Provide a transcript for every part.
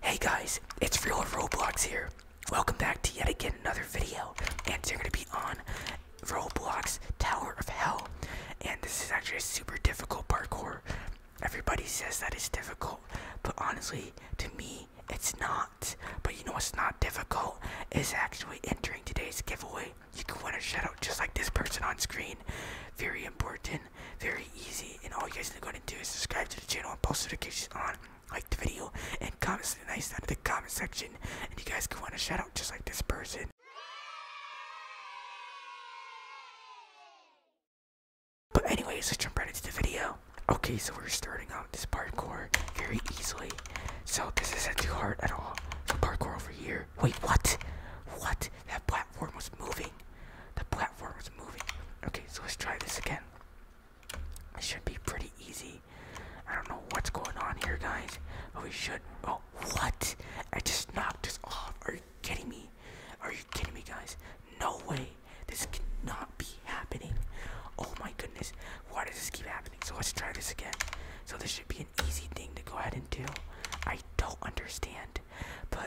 Hey guys, it's Real Roblox here. Welcome back to yet again another video. And you're gonna be on Roblox Tower of Hell. And this is actually a super difficult parkour. Everybody says that it's difficult, but honestly, to me, it's not. But you know what's not difficult is actually entering today's giveaway. You can win a shoutout just like this person on screen. Very important very easy, and all you guys are going to do is subscribe to the channel and post notifications on, like the video, and comment something nice down in the comment section, and you guys can want a shout out just like this person. But anyways, let's jump right into the video. Okay, so we're starting out this parkour very easily. So this isn't too hard at all. So parkour over here. Wait, what? What? That platform was moving. The platform was moving. Okay, so let's try this again. This should be pretty easy. I don't know what's going on here, guys. But we should. Oh, what? I just knocked us off. Are you kidding me? Are you kidding me, guys? No way. This cannot be happening. Oh my goodness. Why does this keep happening? So let's try this again. So this should be an easy thing to go ahead and do. I don't understand. But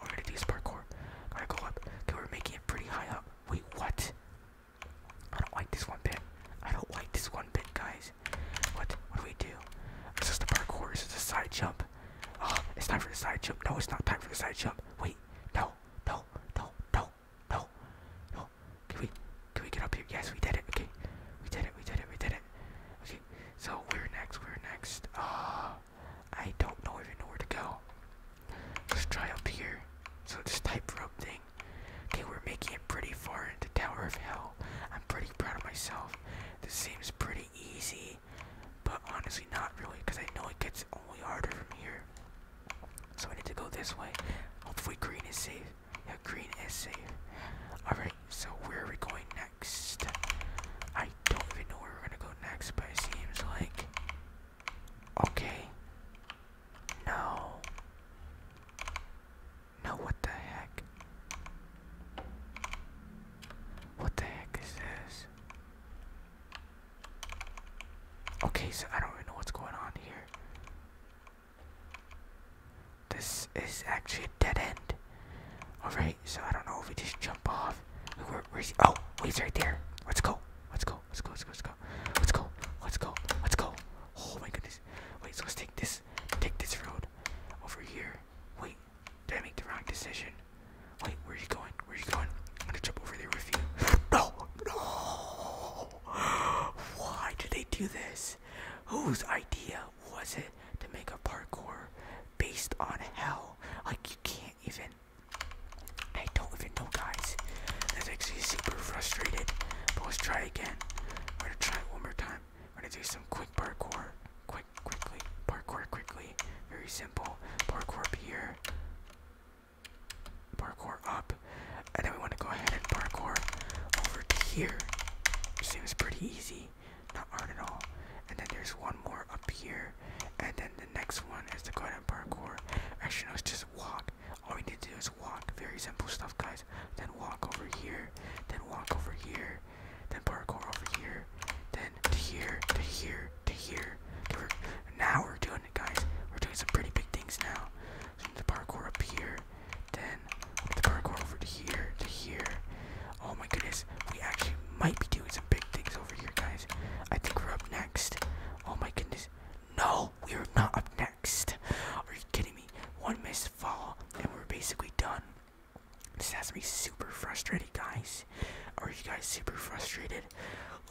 I'm gonna do parkour. I go up. Okay, we're making it pretty high up. Wait, what? I don't like this one bit. I don't like this one bit, guys. What? What do we do? This is the parkour. This is the side jump. Oh, it's time for the side jump. No, it's not time for the side jump. Wait, no, no, no, no, no, Can we, can we get up here? Yes, we did it. Okay, we did it. We did it. We did it. Okay, so we're next. We're next. Uh, I don't know even where to go. Let's try up here. So this tightrope thing. Okay, we're making it pretty far into Tower of Hell. I'm pretty proud of myself. This seems pretty easy, but honestly not really, because I know it gets only harder from here. So I need to go this way. Hopefully green is safe. Yeah, green is safe. Alright, so where are we going next? next. I don't even know where we're gonna go next, but it seems like. Okay. No. No, what the heck? What the heck is this? Okay, so I don't really know what's going on here. This is actually a dead end. Alright, so I don't know if we just jump off. Where, where's he? Oh, he's right there. Let's go. Let's go. Let's go. Let's go. Let's go. Let's go. Let's go. Let's go. Oh my goodness. Wait, so let's take this. Take this road over here. Wait, did I make the wrong decision? Wait, where are you going? Where are you going? I'm gonna jump over there with you. No! No! Why did they do this? Whose idea was it to make a parkour based on hell? Like you can't even. I don't even know, guys. That's actually super frustrated. But let's try again. I'm gonna try it one more time. I'm gonna do some quick parkour. Quick, quickly. Parkour quickly. Very simple. Parkour up here. Parkour up then we want to go ahead and parkour over to here. Seems pretty easy, not hard at all. And then there's one more up here, and then the next one is the go ahead and parkour. Actually, no, it's just walk. All we need to do is walk. Very simple stuff, guys. Then walk over here, then walk over here, then parkour over here, then to here, to here, to here. To now we're doing it, guys. We're doing some pretty big things now. the parkour up here, then the car go over to here, to here. Oh my goodness, we actually might be doing some big things over here, guys. I think we're up next. Oh my goodness. No, we are not up next. Are you kidding me? One missed fall, and we're basically done. This has to be super frustrating, guys. Are you guys super frustrated?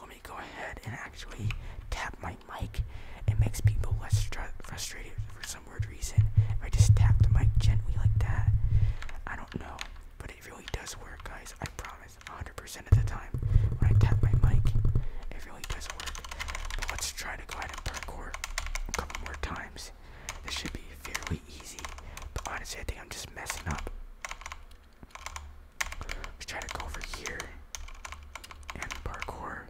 Let me go ahead and actually tap my mic, it makes people less frustrated for some weird reason. If I just tap the mic gently like that, I don't know, but it really does work, guys. I promise, 100% of the time, when I tap my mic, it really does work. But let's try to go ahead and parkour a couple more times. This should be fairly easy, but honestly, I think I'm just messing up. Let's try to go over here and parkour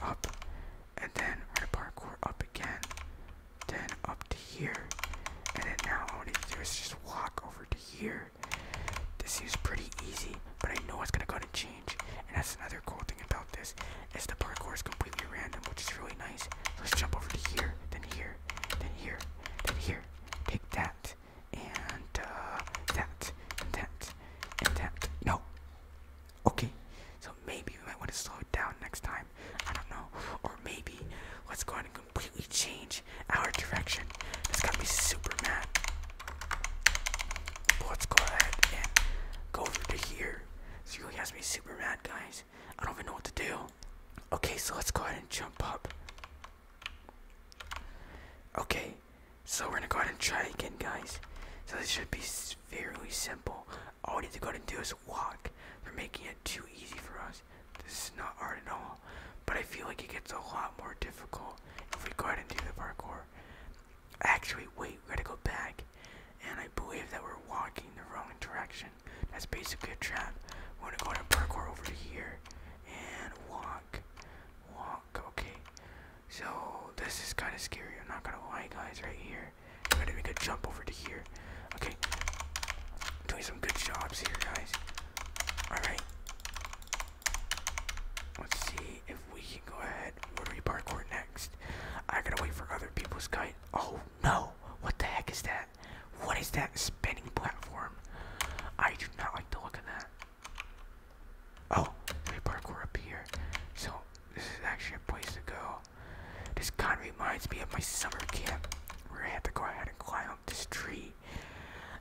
up, and then we parkour up again, then up to here, and then now all I need to do is just walk over to here. This seems pretty easy, but I know it's gonna go to change, and that's another cool thing about this, is the parkour is completely random, which is really nice. Let's jump over to here, then here, then here, then here. Take that and uh, that, that, that. No. Okay. So maybe we might want to slow it down next time. I don't know. Or maybe let's go ahead and completely change our direction. That's got me super mad. let's go ahead and go over to here. This really has me super mad, guys. I don't even know what to do. Okay, so let's go ahead and jump up. Okay, so we're gonna go ahead and try again, guys. So this should be fairly simple. All we need to go and do is walk. They're making it too easy for us. This is not hard at all. But I feel like it gets a lot more difficult if we go ahead and do the parkour. Actually, wait, we gotta go back. And I believe that we're walking the wrong direction. That's basically a trap. We're gonna go ahead and parkour over here and walk walk. Okay, so this is kind of scary. I'm not gonna lie, guys. Right here, I'm gonna make a jump over to here. Okay, doing some good jobs here, guys. All right. Let's see if we can go ahead. Where do we parkour next? I gotta wait for other people's kite. Oh no! What the heck is that? What is that spinning platform? I do not like to look at that. Oh, we parkour up here. So this is actually a place to go. This kind of reminds me of my summer camp where I had to go ahead and climb up this tree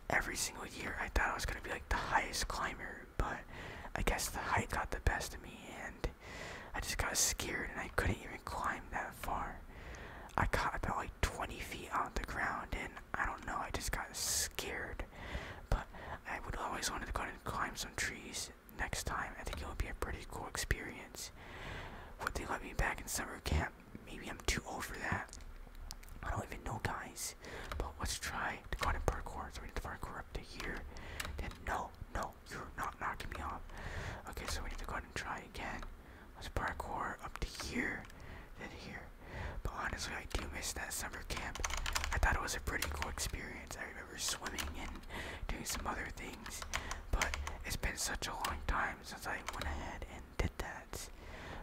every single year. I thought I was gonna be like the highest climber, but I guess the height got the best of me and I just got scared and I couldn't even climb that far. I got about like 20 feet on the ground, and I don't know, I just got scared. But I would always wanted to go and climb some trees next time. I think it would be a pretty cool experience. Would they let me back in summer camp? Maybe I'm too old for that. I don't even know, guys. But let's try to go and parkour. So we need to parkour up to here. Then no, no, you're not knocking me off. Okay, so we need to go and try again. Let's parkour up to here, then here. But honestly, I do miss that summer camp. I thought it was a pretty cool experience. I remember swimming and doing some other things, but it's been such a long time since I went ahead and did that.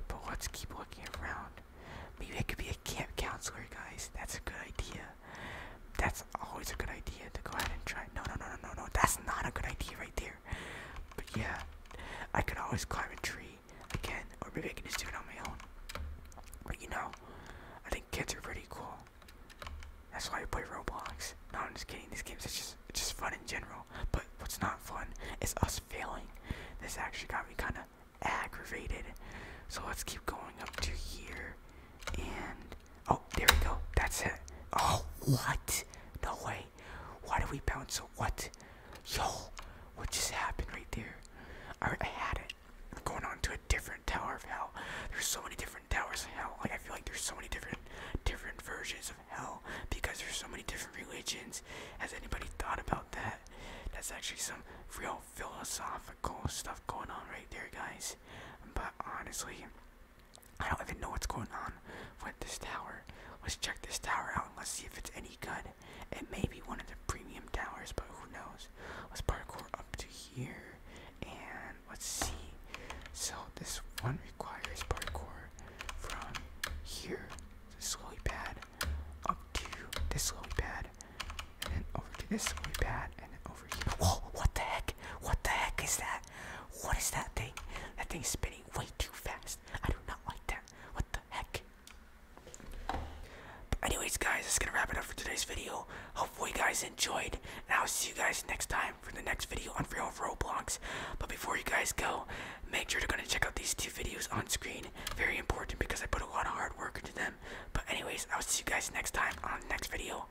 But let's keep looking around. Maybe I could be a camp counselor, guys. That's a good idea. That's always a good idea to go ahead and try. No, no, no, no, no, no. That's not a good idea right there. But yeah, I could always climb a tree again, or maybe I can just do it on my own. But you know, I think kids are pretty cool. That's why I play Roblox. No, I'm just kidding. These games it's just just fun in general. But what's not fun is us failing. This actually got me kind of aggravated. So let's keep going up to here, and Oh, there we go. That's it. Oh, what? No way. Why did we bounce so what? Yo, what just happened right there? Alright, I had it. I'm going on to a different tower of hell. There's so many different towers of hell. Like I feel like there's so many different different versions of hell because there's so many different religions. Has anybody thought about that? That's actually some real philosophical stuff going on right there, guys. But honestly, I don't even know what's going on with this tower. Let's check this tower out and let's see if it's any good. It may be one of the premium towers, but who knows? Let's parkour up to here and let's see. So this one requires parkour from here, this lily pad, up to this lily pad, and then over to this lily pad, and then Whoa, what the heck? What the heck is that? What is that thing? That thing's spinning way too fast. I do not like that. What the heck? But anyways, guys, that's gonna wrap it up for today's video. Hopefully, you guys enjoyed, and I'll see you guys next time for the next video on Real Roblox. But before you guys go, make sure to go and check out these two videos on screen. Very important because I put a lot of hard work into them. But anyways, I'll see you guys next time on the next video.